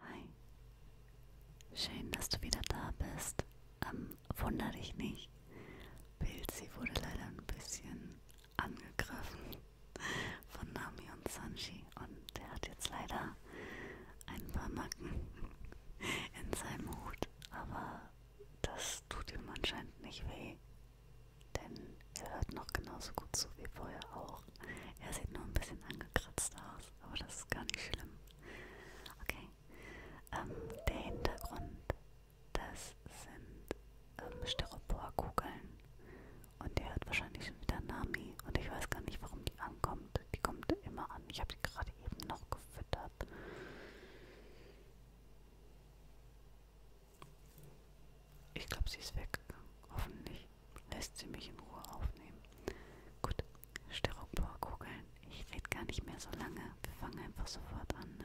Hi, schön, dass du wieder da bist. Ähm, wunder dich nicht. Pilzi wurde leider ein bisschen angegriffen von Nami und Sanji und der hat jetzt leider ein paar Macken in seinem Hut, aber das tut ihm anscheinend nicht weh, denn er hört noch genauso gut zu wie vorher auch. Er sieht nur ein bisschen angekratzt aus, aber das ist gar nicht schlimm. Okay, ähm, der Hintergrund, das sind ähm, Styroporkugeln und ihr hört wahrscheinlich schon wieder Nami und ich weiß gar nicht, warum die ankommt. Die kommt immer an. Ich habe die gerade eben noch gefüttert hat. Ich glaube, sie ist weggegangen. Hoffentlich lässt sie mich in Ruhe aufnehmen. Gut, Styroporkugeln. Ich rede gar nicht mehr so lange. Wir fangen einfach sofort an, ne?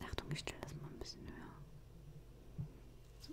Achtung, ich stelle das mal ein bisschen höher. So.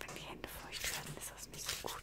Wenn die Hände feucht werden, ist das nicht so gut.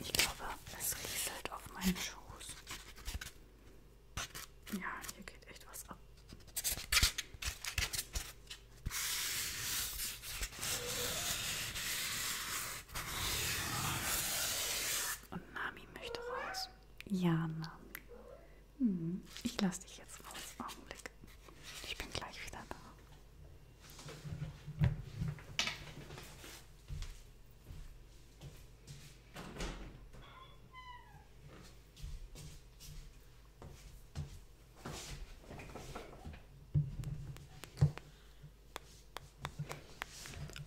Ich glaube, es rieselt auf meinen Schoß. Ja, hier geht echt was ab. Und Nami möchte raus. Ja, Nami. Hm, ich lasse dich jetzt raus. Augenblick. Ich bin gleich wieder da.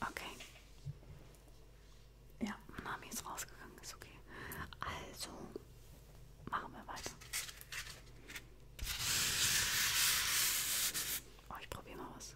Okay. Ja, Mami ist rausgegangen, ist okay. Also machen wir weiter. Oh, ich probiere mal was.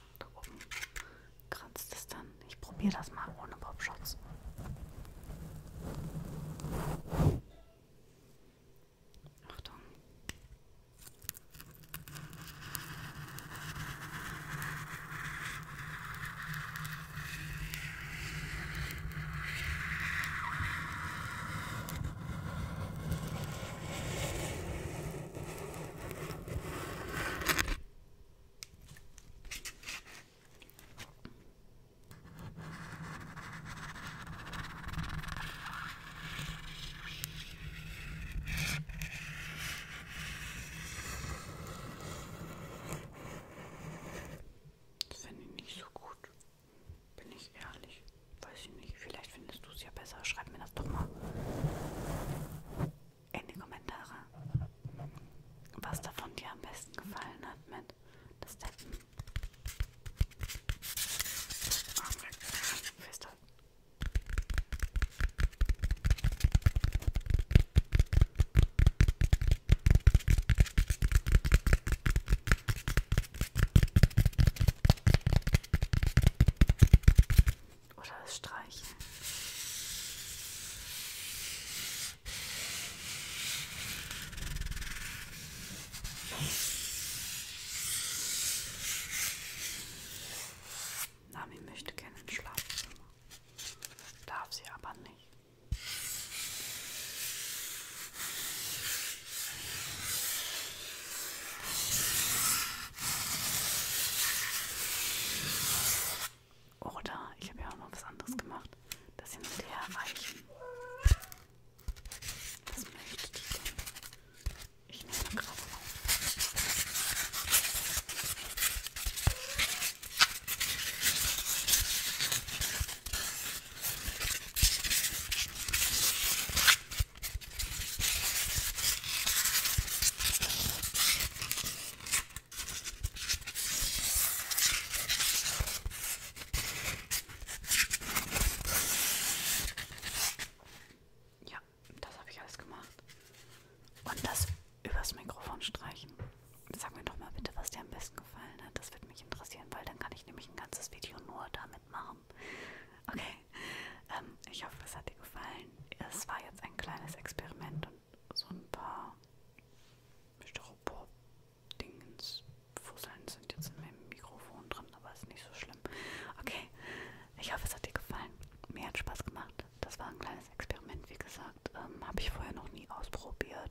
Da oben kratzt es dann. Ich probiere das mal ohne Popschutz. Achtung. Das finde ich nicht so gut, bin ich ehrlich. Weiß ich nicht. Vielleicht findest du es ja besser. Schreib mir das doch mal in die Kommentare, was davon dir am besten gefallen hat mit das Tappen. Fester. Oder das Streichen. Nami möchte gerne ins Schlafzimmer, darf sie aber nicht. Oder ich habe ja auch noch was anderes gemacht. Das hin und her reichen. Was möchte die denn? Ich nehme gerade auf. Ja, das habe ich alles gemacht. Und das übers Mikrofon streichen. Sag mir doch mal bitte, was dir am besten gefallen hat. Das wird mich interessieren, weil dann kann ich nämlich ein ganzes Video nur damit machen warm. Okay, ähm, ich hoffe, es hat dir gefallen. Es war jetzt ein kleines Experiment und so ein paar Styropor-Dingens, Fusseln sind jetzt in meinem Mikrofon drin, aber ist nicht so schlimm. Okay, ich hoffe, es hat dir gefallen. Mir hat Spaß gemacht. Das war ein kleines Experiment, wie gesagt. Ähm, Habe ich vorher noch nie ausprobiert.